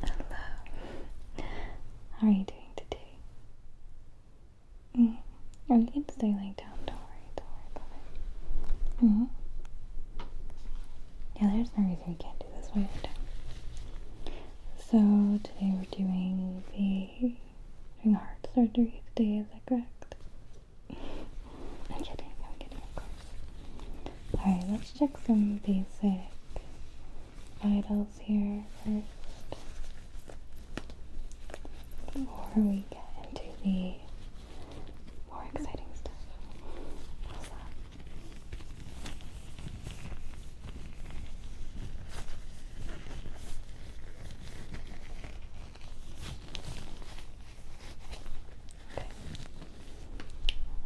Hello. How are you doing today? Mm. Oh, you can stay laying down. Don't worry. Don't worry about it. Mm-hmm. Yeah, there's no reason we can't do this while So today we're doing the doing heart surgery today. Is that correct? I'm kidding. I'm kidding. Alright, let's check some basic vitals here first. Before we get into the more exciting stuff.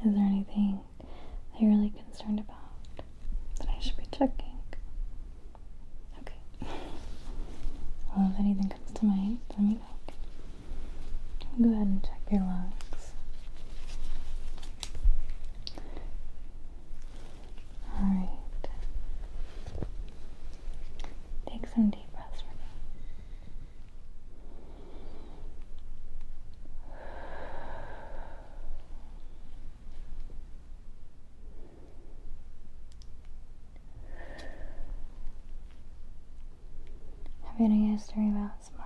Is there anything anything that are really concerned about that I should be checking? Okay. well, if anything comes to mind, let me know. Go ahead and check your lungs. Alright. Take some deep breaths for me. Have you any history of asthma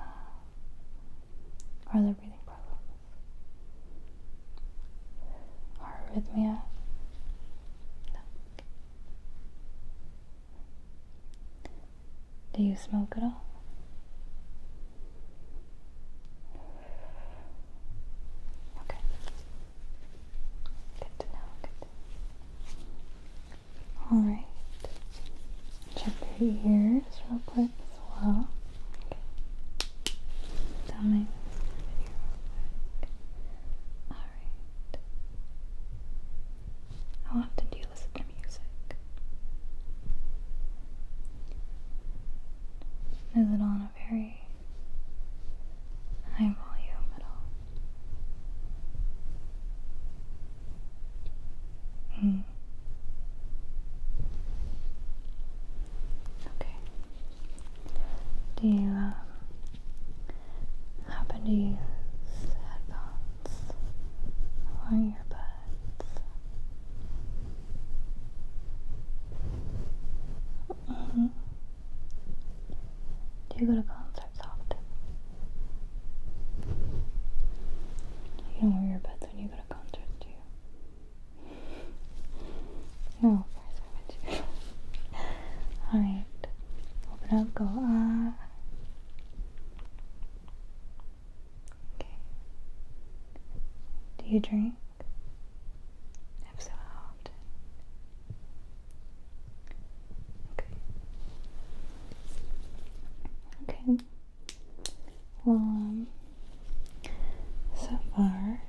Are there breathing problems? Or arrhythmia? No. Do you smoke at all? Okay. Good to know. Good. All right. Check your ears real quick as well. Okay. All right. How often do you listen to music? Is it on a very high volume at all? Hmm. Okay. Do you um, happen to use headphones or earbuds? -hmm. Do you go to concerts often? You don't wear when you go to concerts, do you? no, of course I Alright, open up, go. Okay. Do you drink? If so, how often? Okay. Okay. Well, um, so far,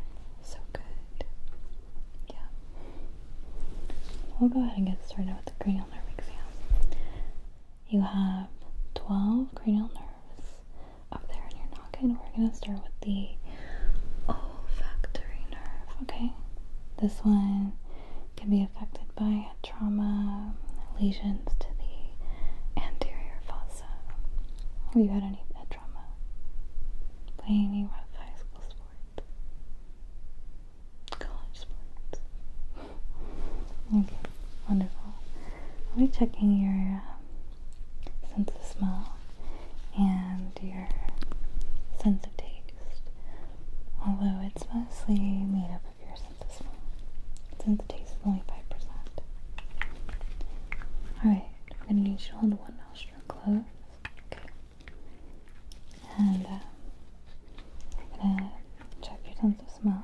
so good. Yeah. We'll go ahead and get started with the cranial nerve exam you have 12 cranial nerves up there in your noggin. We're going to start with the olfactory nerve, okay? This one can be affected by trauma, lesions to the anterior fossa. Have you had any head trauma? Playing any rough high school sports? College sports? Okay, wonderful. I'll be checking your um, sense of smell and your sense of taste, although it's mostly made up of your sense of smell. Sense of taste is only 5%. Alright, I'm going to need you to hold one nostril closed. Okay. And um, I'm going to check your sense of smell.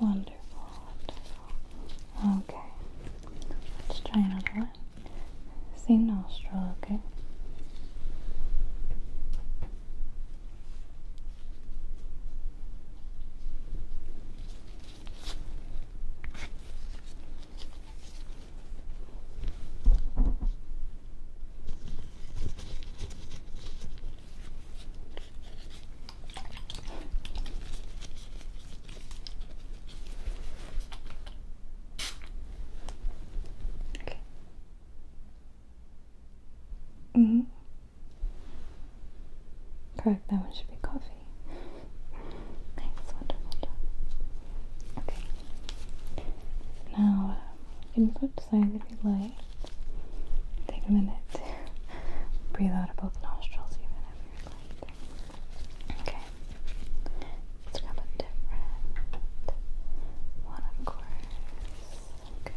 Wonderful, Okay. Let's try another one. Same nostril, okay? Okay. Mm-hmm. Correct, that one should be coffee. Thanks, wonderful job. Okay. Now, um, you if you like. Take a minute Breathe out of both nostrils, even if you're like. Okay. Let's grab a different one, of course. Okay.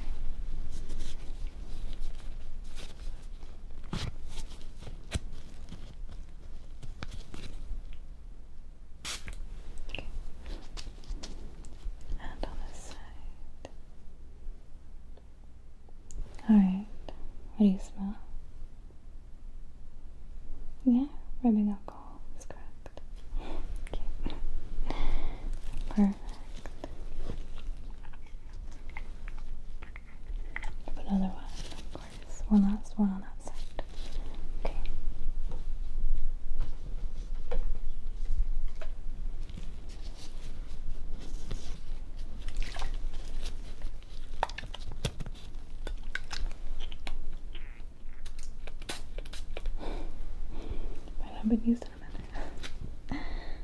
And on this side. Alright, what do you smell? Yeah, rubbing alcohol is correct. Okay. Perfect. Put another one, of course. One last one on that side. Okay. Might not been used in a minute.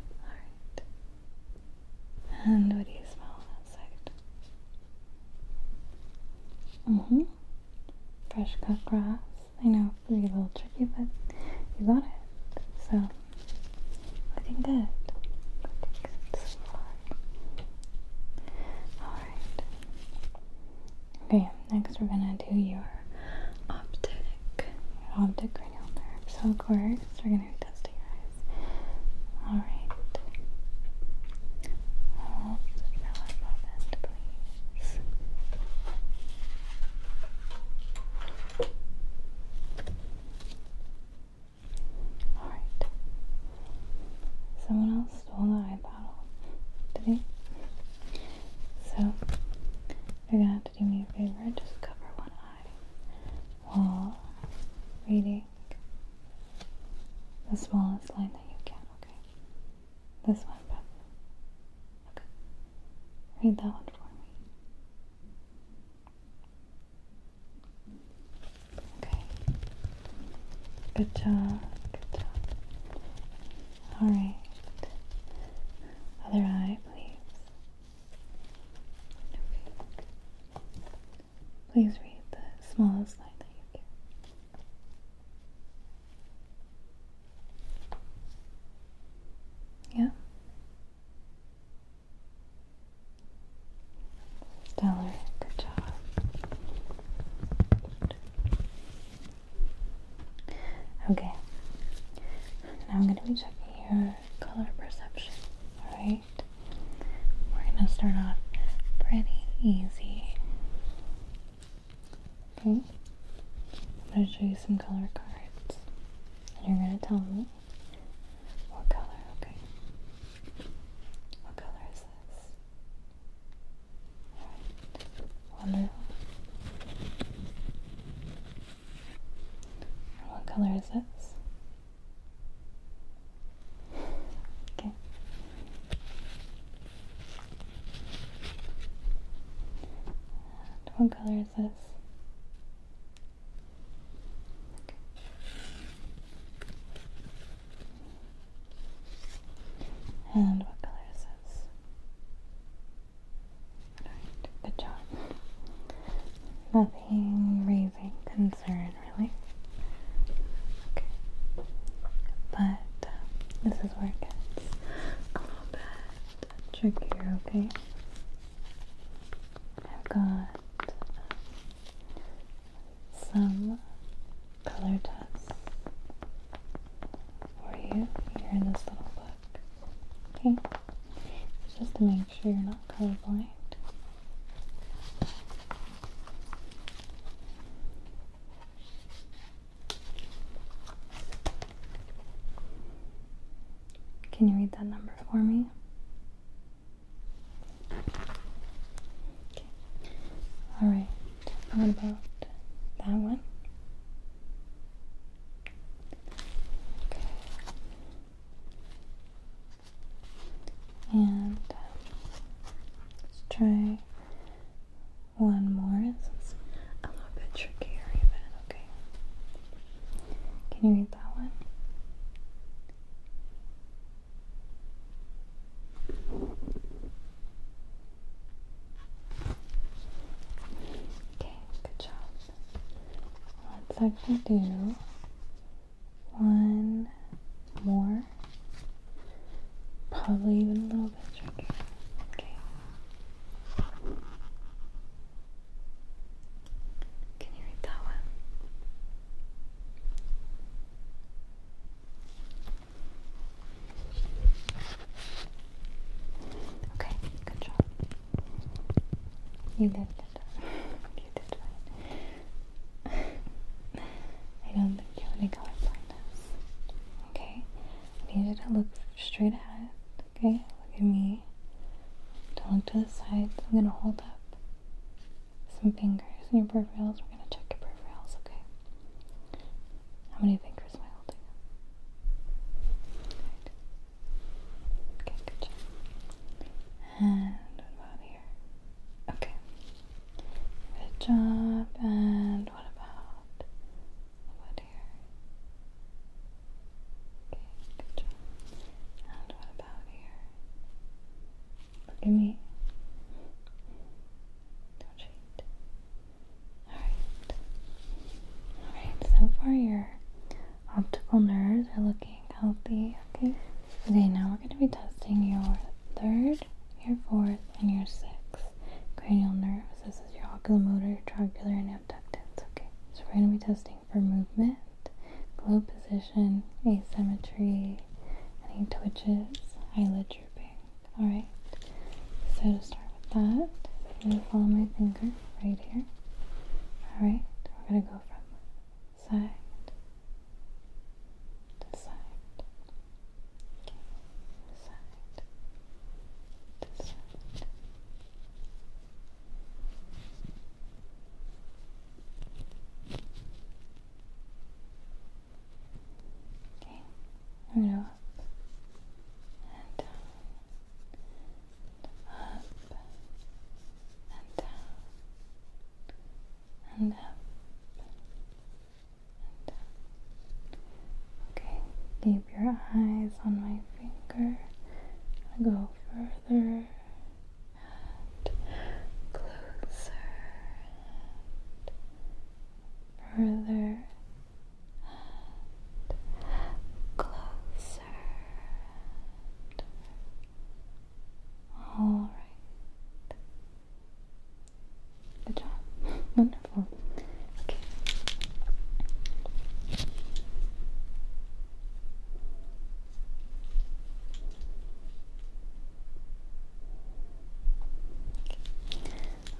Alright. And what do you smell on hmm Fresh cut grass. I know it's a little tricky, but you got it. So I think that good so Alright. Okay, next we're gonna do your optic, optic cranial nerve. So of course we're gonna be testing your eyes. Alright. Hold the relevant, please. Alright. Someone else stole the eye bottle. Did he? So, you're gonna have to do me a favor just cover one eye while reading the smallest line that you can, okay? This one, Okay. Read that one for me. Okay. Good job. Good job. All right. Other eye, please. Okay. Please read the smallest line that you can. Yeah. Stellar, good job. Okay. Now I'm going to be checking your color perception. Alright? We're going to start off pretty easy. I'm going to show you some color cards. And you're going to tell me what color, okay? What color is this? Alright, wonderful. what color is this? Okay. what color is this? And what color is this? good job. Nothing really concerned, really. Okay. But uh, this is where it gets a little bit Trickier, okay? I've got um, some color tests for you here in this little book, okay? just to make sure you're not colorblind. Can you read that number for me? All right. What about that one? And um, let's try one more. It's a little bit tricky, even. Okay. Can you read that one? Okay, good job. Let's actually do one more. Probably even a little bit trickier. Okay. Can you read that one? Okay, good job. You did it. you did fine. I don't think you have any color blindness. Okay, I need you to look straight ahead. Okay, look at me. Don't look to the side. I'm gonna hold up some fingers in your peripherals. We're gonna check your peripherals, okay? How many fingers am I holding up? Okay, good job. And what about here? Okay. Good job. And what about here. Okay, good job. And what about here? Look me. Don't cheat. Alright. Alright, so far your optical nerves are looking healthy. Okay. Okay, now we're going to be testing your third, your fourth, and your sixth cranial nerves. This is your oculomotor, trabecular, and abductance. Okay, so we're going to be testing for movement, globe position, asymmetry, any twitches, eyelid drooping. Alright, so to start with that, I'm going to follow my finger right here. Alright, we're going to go from side to side. Okay, side to side. Okay, I'm gonna up and down, up and down, and up and down. Okay, keep your eyes on my finger. go further and closer further and closer. All right. Good job. Wonderful. Okay.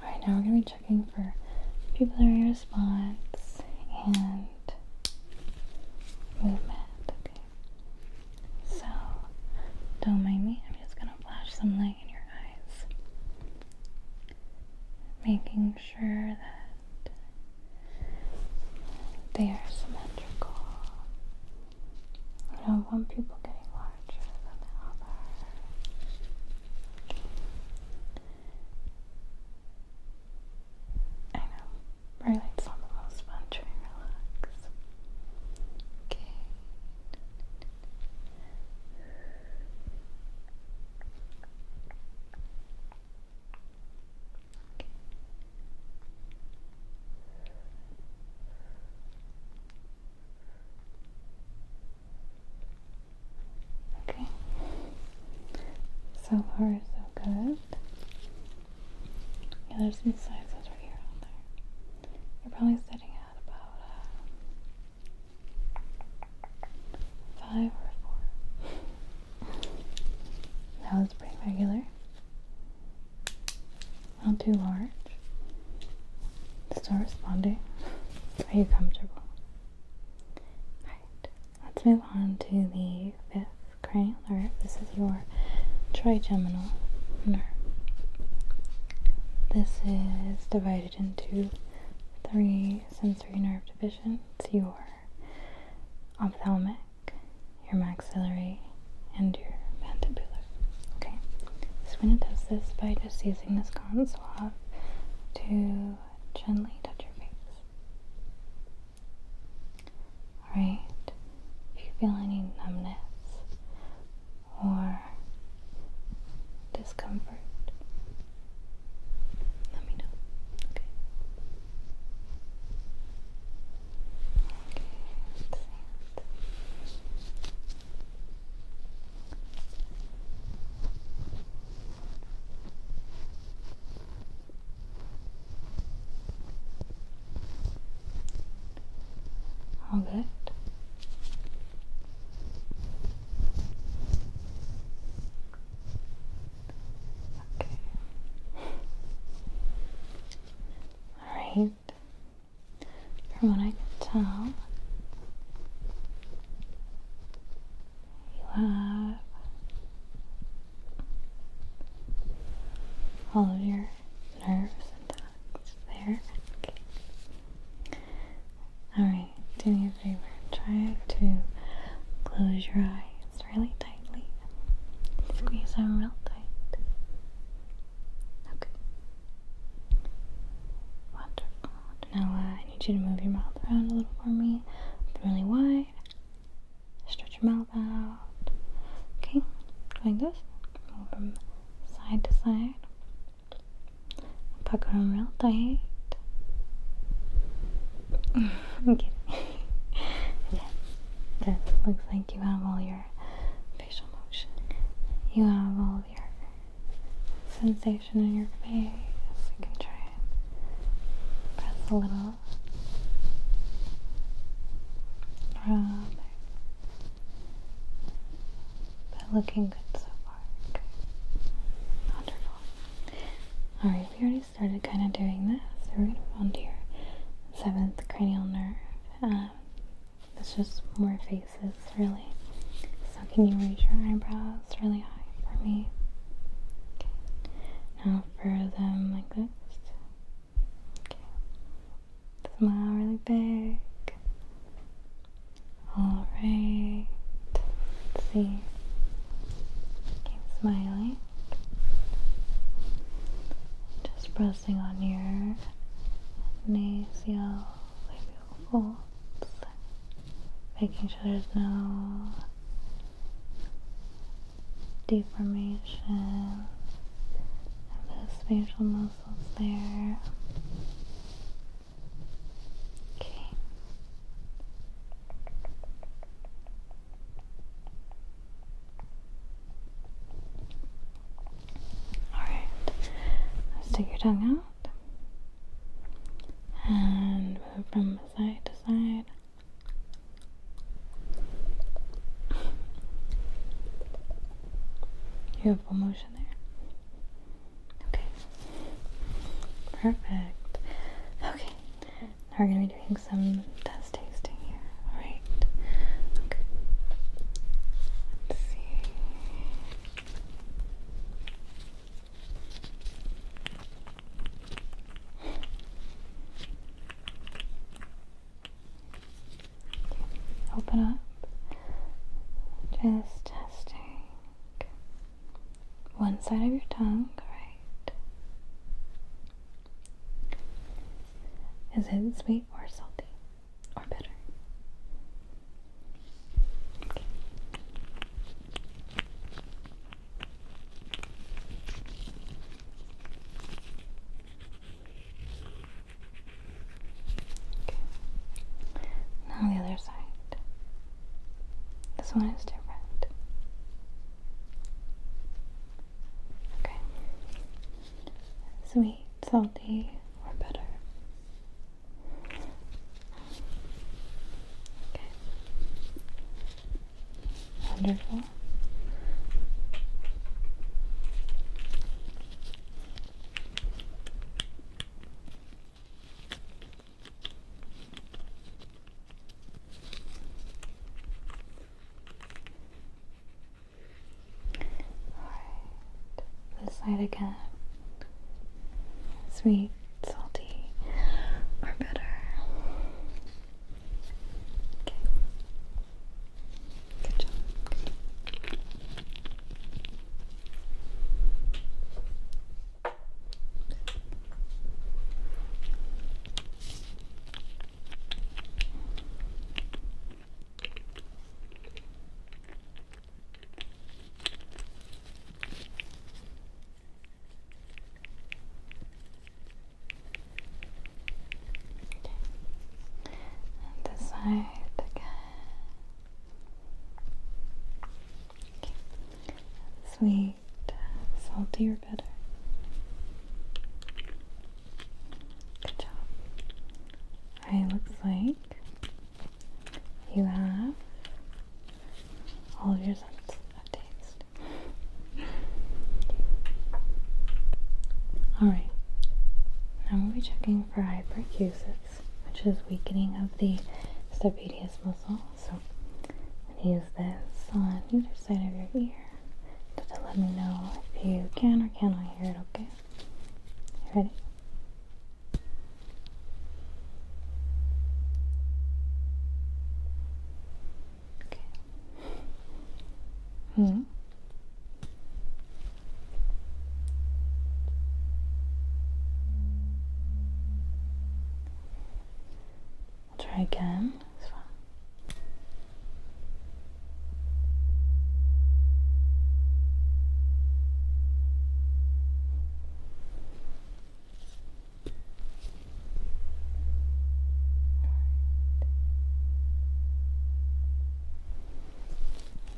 Alright, now we're going to be checking for pupillary response and movement. Okay. So, don't mind me, I'm just going to flash some light in your eyes, making making sure that they are symmetrical. I don't want people getting larger than the other. I know, burlight's not the most fun to relax. Okay. Okay. So far, so good. Yeah, there's some signs that are here on there. You're probably sitting at about uh, Five or four. That was pretty regular. Not too large. Still responding. Are you comfortable? Alright, let's move on to the fifth cranial nerve. This is your trigeminal nerve. This is divided into three sensory nerve divisions your ophthalmic, your maxillary, and your mandibular. Okay, so we're going to test this by just using this cotton swab to gently touch your face. Alright, if you feel any numbness or discomfort, let me know. Okay. Okay, all good. Okay. Alright. From what I can tell, you have all of your nerves intact there. Alright do me a favor. Try to close your eyes really tightly. Squeeze them real tight. Okay. Wonderful. Now I need you to move your mouth around a little for me. really wide. Stretch your mouth out. Okay, like this. Move from side to side. Pucker them real tight. I'm kidding. yeah, that looks like you have all your facial motion. You have all of your sensation in your face. You can try it. press a little. Rub. But looking good so far. Good. Wonderful. Alright, I started kind of doing this right around here. Seventh cranial nerve. Um, it's just more faces, really. So, can you raise your eyebrows really high for me? Okay. Now, for them like this. Okay. Smile really big. Alright. Let's see. Keep smiling. Just pressing on your nasal labial folds, making sure there's no deformation of the facial muscles there. Okay. Alright, now stick your tongue out and move from side to side. You have full motion there. Okay. Perfect. Okay. We're going to be doing some test tasting here. Alright. Open up. Just testing one side of your tongue, right? Is it sweet or salty or bitter? Okay. Now the other side. This one is different. Okay. Sweet, salty, or better. Okay. Wonderful. Alright, this side again. Sweet, salty, or bitter. Good job. And this side again. Okay. As salty, or bitter? Good job. Alright, looks like you have all of your senses of taste. Alright, now we'll be checking for hyperacusis, which is weakening of the stapedius muscle. So use this on either side of your ear just to let me know if you can or cannot hear it, okay? You ready? Okay. Hmm. I'll try again.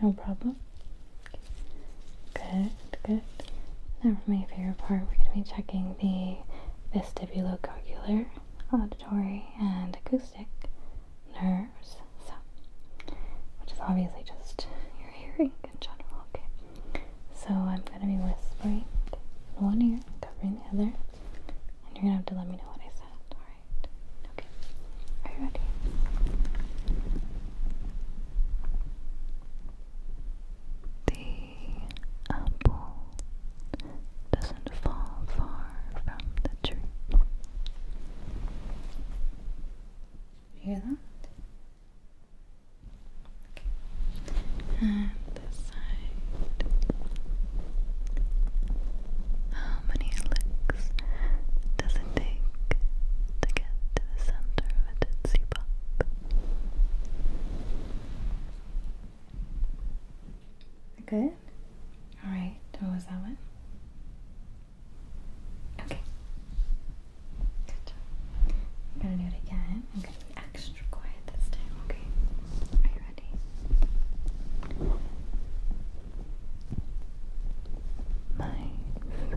No problem. Good good. Now for my favorite part, we're going to be checking the vestibulocochlear, auditory, and acoustic nerves. So, which is obviously just your hearing in general, okay? So I'm going to be whispering one ear, covering the other, and you're going to have to let me know what I said, alright? Okay, are you ready? The apple doesn't fall far from the tree. Hear that? And this side. How many licks does it take to get to the center of a Tootsie Pop? Good? Alright, what was that one? Okay. Good job. to do it again. I'm gonna be extra quiet this time, okay? Are you ready? Mice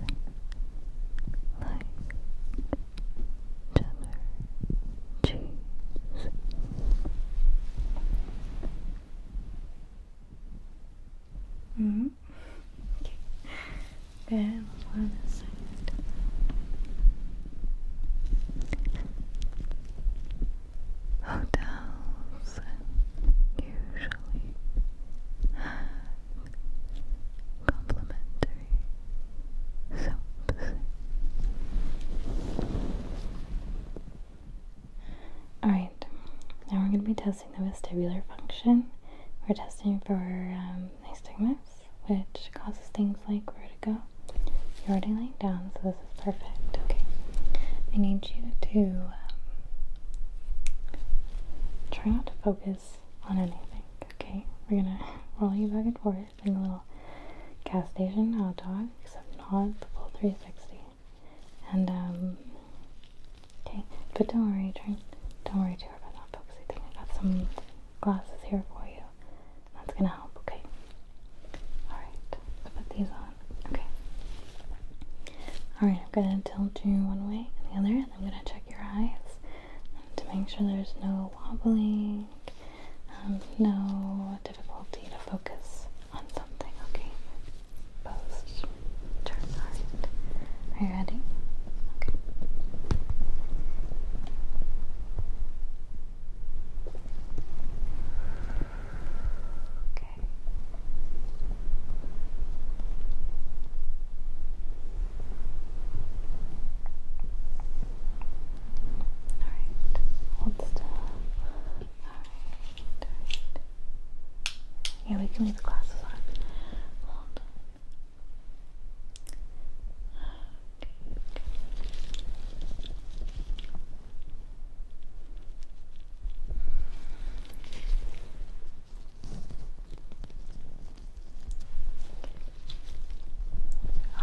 like cheddar cheese. -hmm. Okay. Then on Hotels usually complimentary Alright, now we're going to be testing the vestibular function. We're testing for um, nystagmus, which causes things like vertigo. You're already laying down, so this is perfect. Okay, I need you to um, try not to focus on anything. Okay, we're gonna roll you back and forth a little gas station hot dog, except not the full 360. And, okay, um, but don't worry, Trent. Don't worry too about not focusing. I got some glasses here for you. That's gonna help, okay? Alright, put these on. Okay. Alright, I'm gonna tilt you one way and the other, and I'm gonna check your eyes to make sure there's no wobbling, um, no difficulty to focus on something. Okay, post turn. All right, are you ready? Okay. Okay. Alright, hold still. Alright, Yeah, we can leave the glasses on. Hold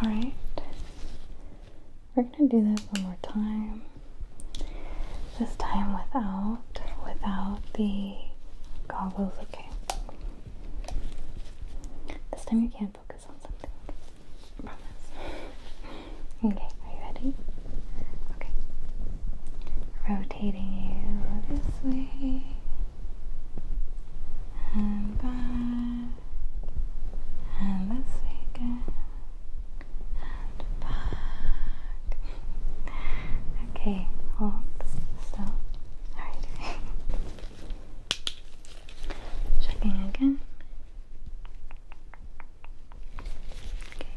all right. We're going to do this one more time. This time without without the goggles, okay? This time you can focus on something. promise. Okay, are you ready? Okay. Rotating you this way and back, and this way again, and back. Okay, hold still. Alright. Checking again. Okay.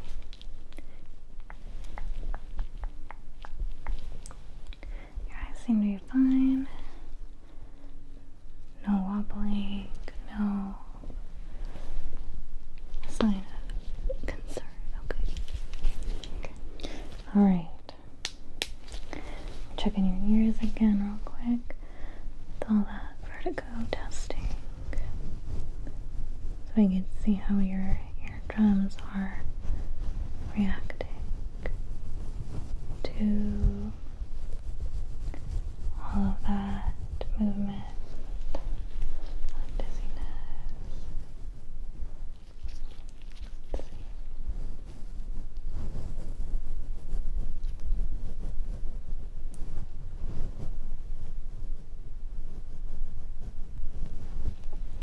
Your eyes seem to be fine. No wobbling, no sign of concern. Okay. Alright. Checking your ears again, real quick. With all that vertigo testing. So we can see how your eardrums are reacting to all of that movement of dizziness.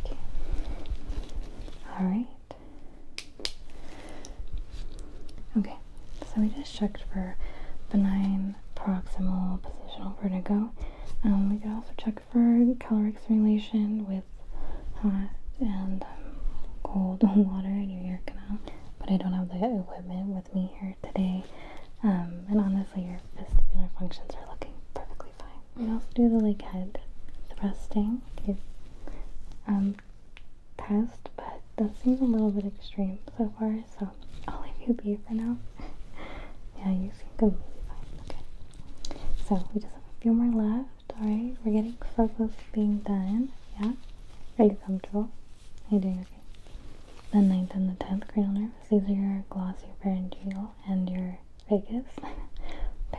Okay. All right. Okay, so we just checked for benign proximal positional vertigo. Um, we could also check for caloric stimulation with hot and um, cold water in your ear canal, but I don't have the equipment with me here today. Um, and honestly, your vestibular functions are looking perfectly fine. We also do the leg head thrusting um, test, but that seems a little bit extreme so far, so I'll leave you be for now. yeah, you seem completely fine. Okay. So we just have a few more left, alright? We're getting so close to being done. Yeah? Are you comfortable? Are you doing okay? The 9th and the 10th cranial nerves. These are your glossopharyngeal and your Vegas. big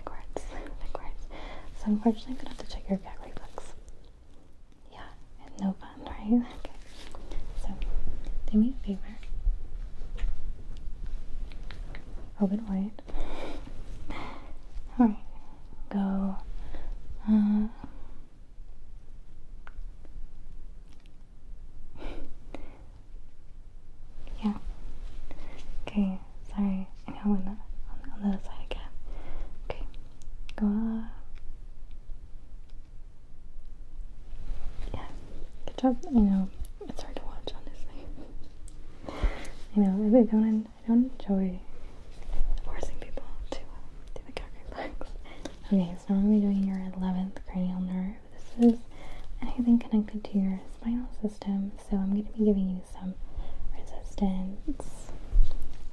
words, So unfortunately, I'm gonna have to check your gut reflex. Yeah, no fun, right? Okay. So, do me a favor. Open wide. All right. Go. Uh, yeah. Okay sorry. I know I went on, the other side again. Okay, go up. Yeah, good job. I know it's hard to watch, honestly. I know I don't. enjoy forcing people to uh, do the cat reflex. Okay, so I'm gonna be doing your eleventh cranial nerve. This is anything connected to your spinal system, so I'm going to be giving you some resistance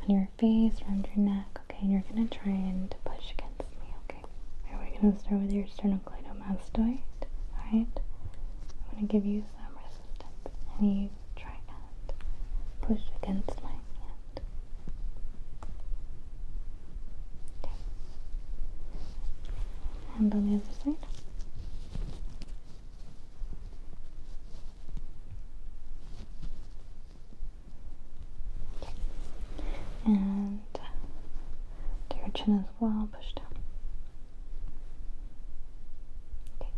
on your face, around your neck, okay? And you're going to try and push against me, okay? All right, we're going to start with your sternocleidomastoid, alright? I'm going to give you some resistance, and you try and push against my hand. Okay. And on the other side. And to your chin as well, push down. Okay.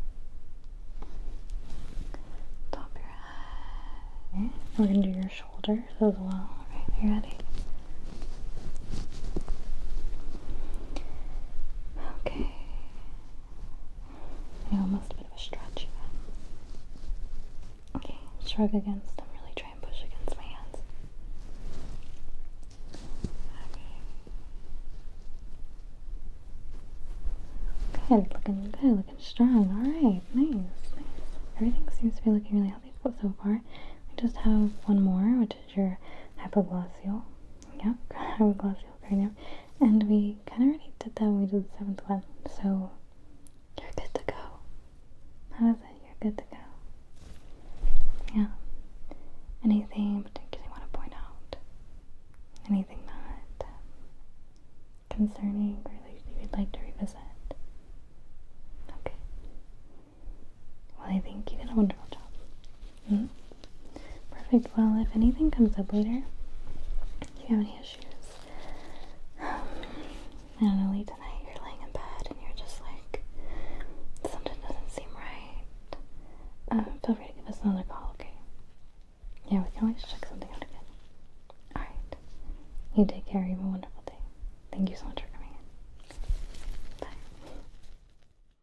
Top your head. We're gonna do your shoulders as well. you ready? Okay almost a bit of a stretch. Okay, shrug against I'm Really trying to push against my hands. Okay. Good, looking good, looking strong. All right, nice, nice. Everything seems to be looking really healthy so far. We just have one more, which is your hypoglossial. Yep, hypoglossial. And we kind of already did that when we did the seventh one, so you're good to go. How is it? You're good to go. Yeah. Anything in want to point out? Anything not concerning or that you would like to revisit? Okay. Well, I think you did a wonderful job. Perfect. Well, if anything comes up later, if you have any issues, um, I tonight you're laying in bed and you're just like, something doesn't seem right, um, feel free to give us another call, okay? Yeah, we can always check something out again. Alright. You take care. You have a wonderful day. Thank you so much for coming in. Bye.